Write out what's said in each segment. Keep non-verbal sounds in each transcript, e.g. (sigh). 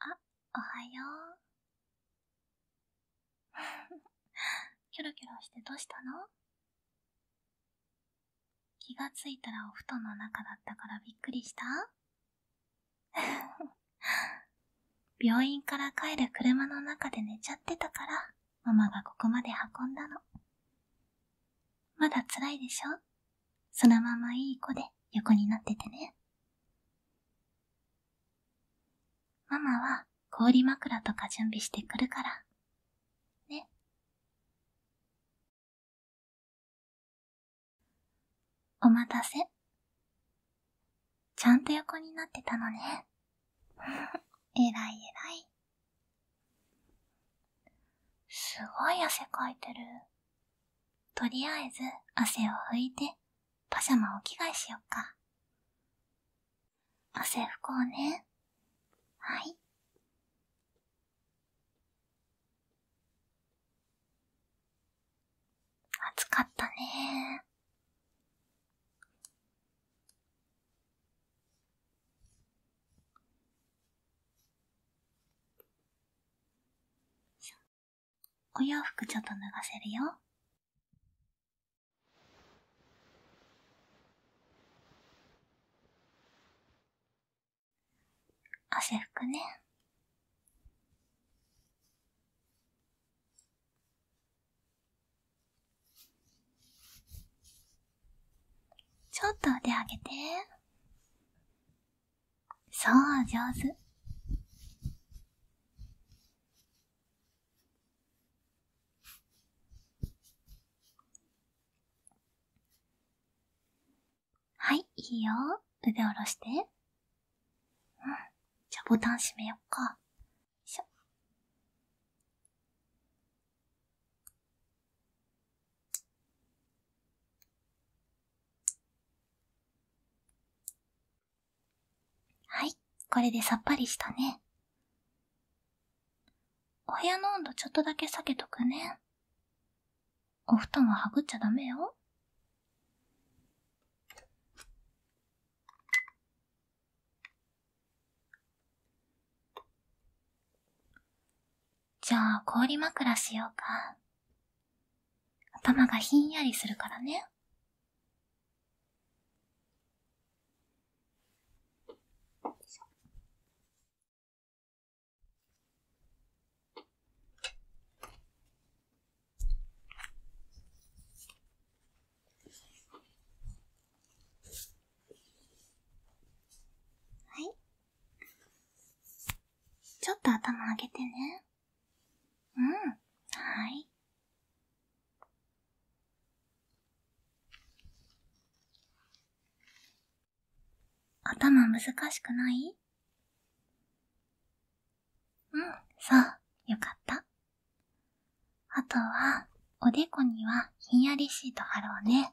あ、おはよう。(laughs) キョロキョロしてどうしたの気が付いたらお布団の中だったからびっくりした (laughs) 病院から帰る車の中で寝ちゃってたから、ママがここまで運んだの。まだ辛いでしょそのままいい子で横になっててね。ママは氷枕とか準備してくるから、ね。お待たせ。ちゃんと横になってたのね。(laughs) えらい偉い。すごい汗かいてる。とりあえず汗を拭いてパジャマを着替えしよっか。汗拭こうね。はい。暑かったねお洋服ちょっと脱がせるよ。汗拭くね。ちょっと腕上げて。そう、上手。はい、いいよ。腕下ろして。うん。じゃ、ボタン閉めよっか。よいしょ。はい、これでさっぱりしたね。お部屋の温度ちょっとだけ下げとくね。お布団ははぐっちゃダメよ。じゃあ氷枕しようか。頭がひんやりするからね。はい。ちょっと頭上げてね。うん、はい。頭難しくないうん、そう、よかった。あとは、おでこにはひんやりシート貼ろうね。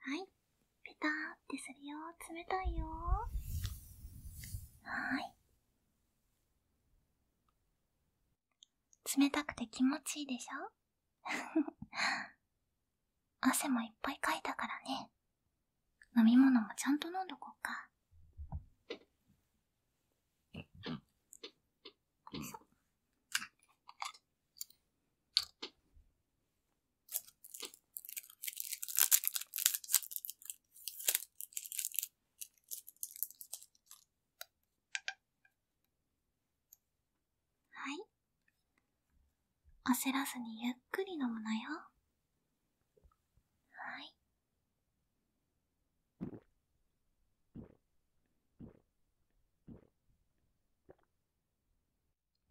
はい。ペターってするよ。冷たいよ。はーい。冷たくて気持ちいいでしょ (laughs) 汗もいっぱいかいたからね。飲み物もちゃんと飲んどこうか。んはい。焦らずにゆっくり飲むのよ。はい。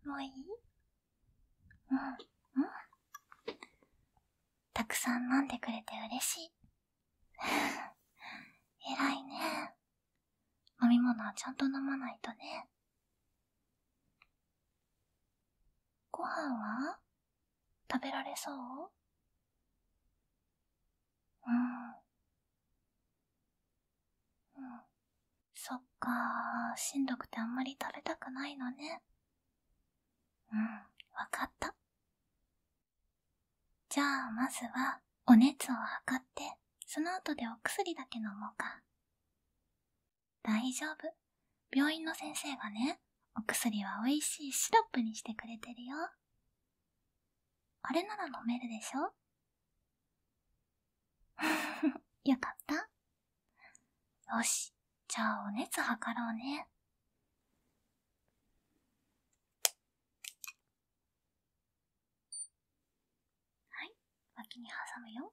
もういいうん、うん。たくさん飲んでくれて嬉しい。(laughs) 偉いね。飲み物はちゃんと飲まないとね。ご飯は食べられそううん。うん。そっかしんどくてあんまり食べたくないのね。うん、わかった。じゃあ、まずは、お熱を測って、その後でお薬だけ飲もうか。大丈夫。病院の先生がね、お薬は美味しいシロップにしてくれてるよ。あれなら飲めるでしょ (laughs) よかったよし、じゃあお熱測ろうね。はい、脇に挟むよ。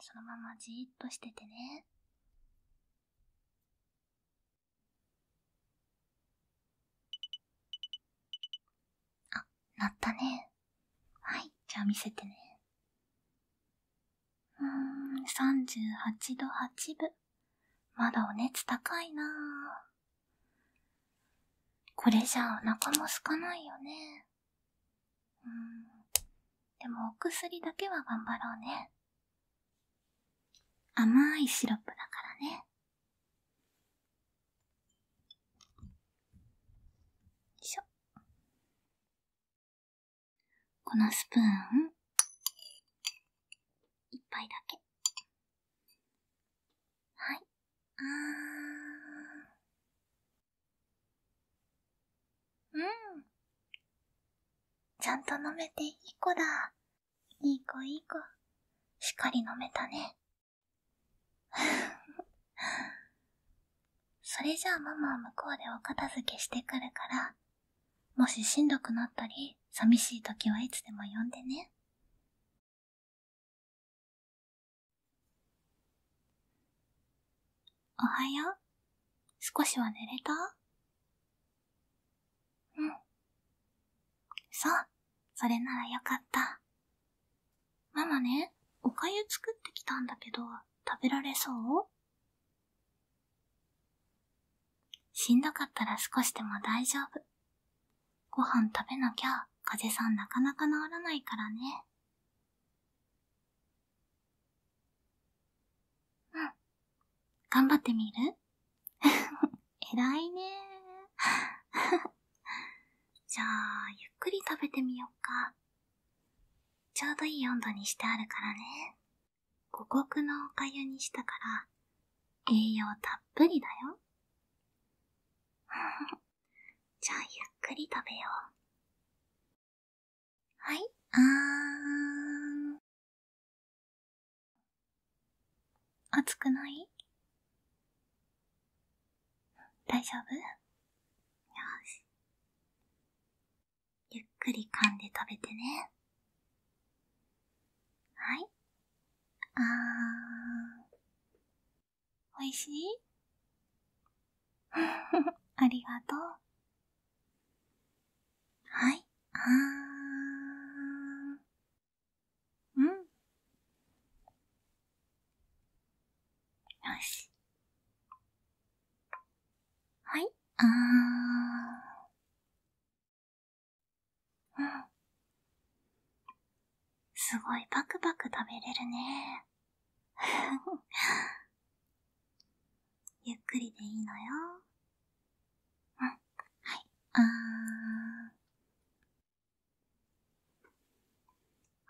そのままじっとしててね。あ、鳴ったね。はい、じゃあ見せてね。うーん、38度8分。まだお熱高いなこれじゃあお腹も空かないよね。うん。でもお薬だけは頑張ろうね。甘いシロップだからね。しょ。このスプーン、一杯だけ。はい。あー。うん。ちゃんと飲めていい子だ。いい子いい子。しっかり飲めたね。それじゃあママは向こうでお片付けしてくるから、もししんどくなったり、寂しい時はいつでも呼んでね。おはよう。少しは寝れたそう、それならよかった。ママね、おかゆ作ってきたんだけど、食べられそうしんどかったら少しでも大丈夫。ご飯食べなきゃ、風さんなかなか治らないからね。うん。頑張ってみる (laughs) 偉いね (laughs) じゃあ、ゆっくり食べてみよっか。ちょうどいい温度にしてあるからね。五穀のおかゆにしたから、栄養たっぷりだよ。(laughs) じゃあ、ゆっくり食べよう。はい、あーん。熱くない大丈夫よし。ゆっくり噛んで食べてね。はい。あー。美味しい (laughs) ありがとう。はい。あー。うん。よし。はい、あー。うん。すごいパクパク食べれるね。(laughs) ゆっくりでいいのよ。うん。はい。あー。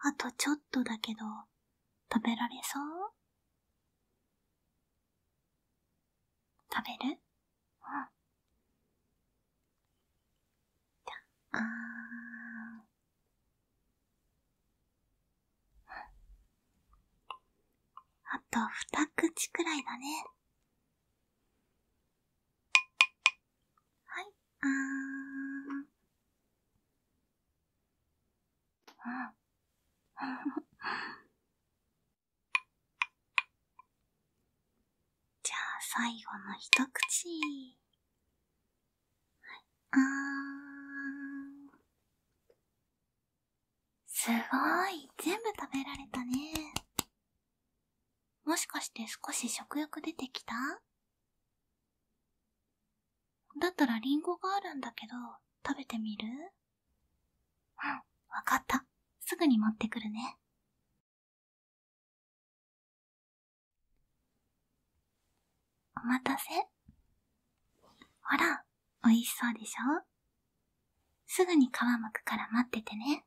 あとちょっとだけど、食べられそう食べるうん。じゃ、あー。あと二口くらいだね。はい、あん。(laughs) じゃあ最後の一口。はい、あー。すごい全部食べられたね。もしかして少し食欲出てきただったらリンゴがあるんだけど、食べてみるうん、わかった。すぐに持ってくるね。お待たせ。ほら、美味しそうでしょすぐに皮むくから待っててね。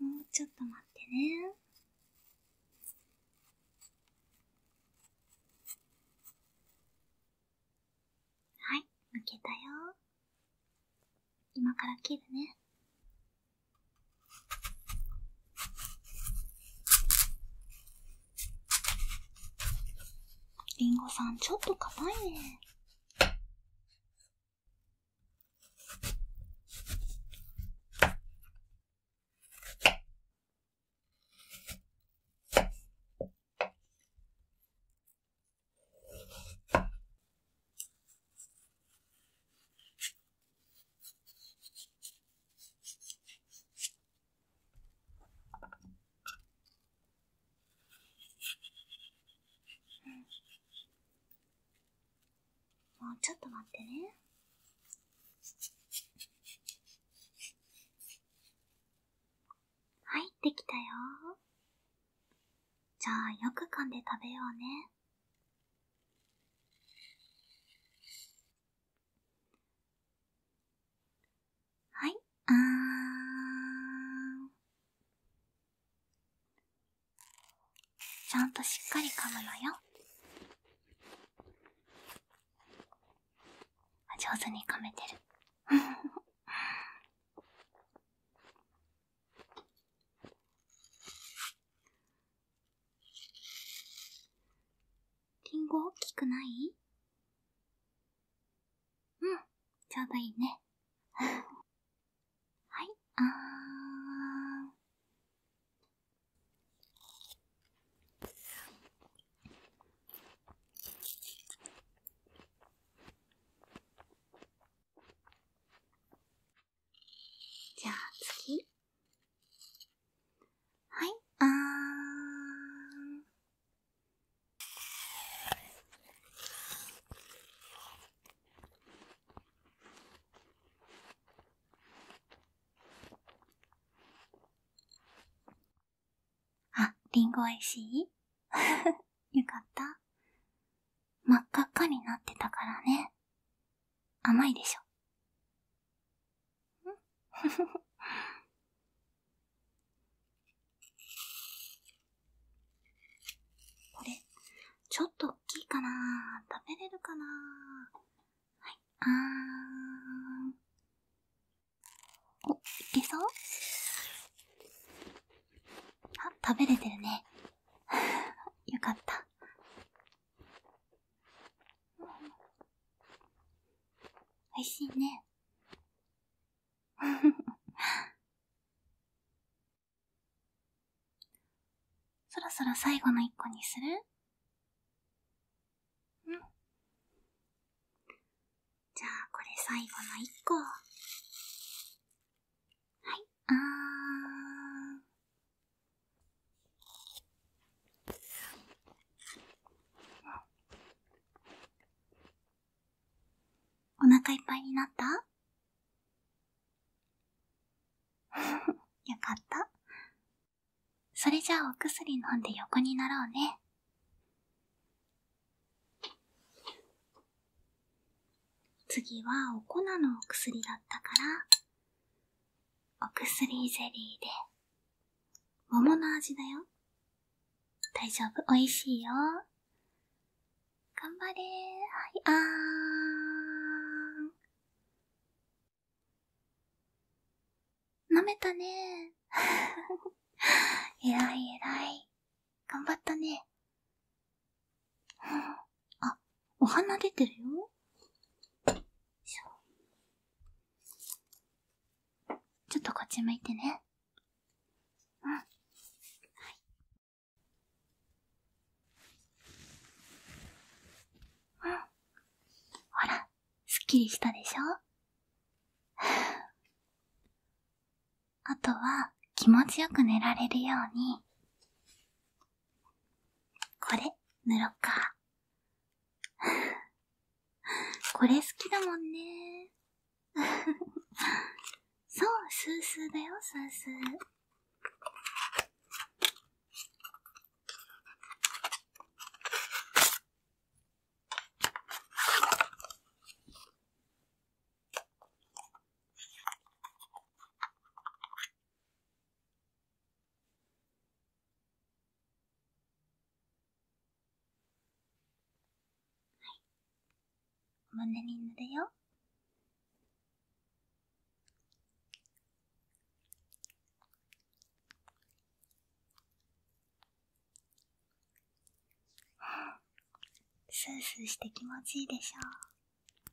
もうちょっと待ってね。はい、抜けたよ。今から切るね。りんごさん、ちょっと硬いね。うんもうちょっと待ってね入ってきたよじゃあよく噛んで食べようねはい、あー。ちゃんとしっかり噛むのよ。上手に噛めてる。(laughs) リンゴ大きくないうん、ちょうどいいね。(laughs) はい、あー。じゃあ次。はい、あーん。あ、りんごおいしい (laughs) よかった。真っ赤っかになってたからね。甘いでしょ。これ、ちょっと大きいかな食べれるかなはい、あーん。お、いけそうあ、食べれてるね。(laughs) よかった。美味しいね。(laughs) そろそろ最後の一個にするうん。じゃあ、これ最後の一個。はい、あー。お腹いっぱいになった (laughs) よかった。それじゃあお薬飲んで横になろうね。次はお粉のお薬だったから、お薬ゼリーで、桃の味だよ。大丈夫、美味しいよ。頑張れー。はい、あーん。舐めたねー。え (laughs) らいえらい。頑張ったね。あ、お花出てるよ。ちょっとこっち向いてね。うん。はい。ん。ほら、すっきりしたでしょ (laughs) あとは、気持ちよく寝られるように、これ、塗ろか。(laughs) これ好きだもんね。(laughs) そう、スースーだよ、スースー。お胸に塗るよ。スースーして気持ちいいでしょう。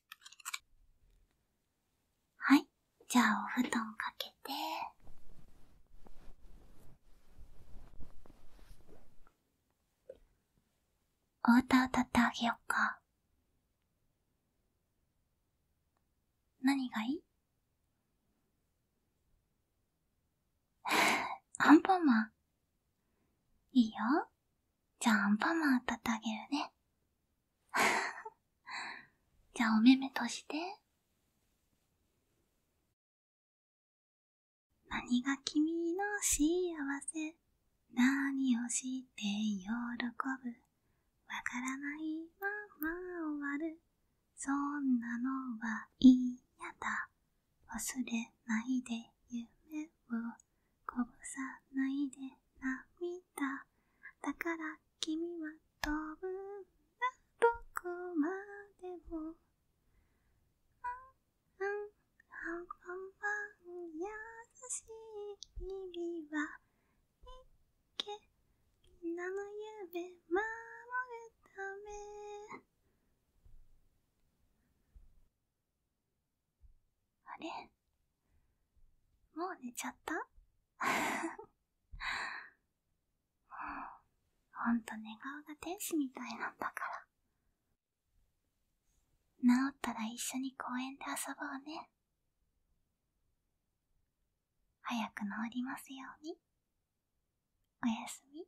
はい。じゃあ、お布団かけて。お歌歌ってあげよっか。何がいいア (laughs) ンパンマン。いいよ。じゃあンパンマン歌ってあげるね。(laughs) じゃあお目目として。何が君の幸せ何をして喜ぶわからないまま終わる。そんなのは嫌だ。忘れないで夢をこぼさないで涙だから君は飛ぶどこまでもうんうんはんはんはん優しい日々はいけみんなの夢守るためあれもう寝ちゃった (laughs) ほんと寝顔が天使みたいなんだから。治ったら一緒に公園で遊ぼうね。早く治りますように。おやすみ。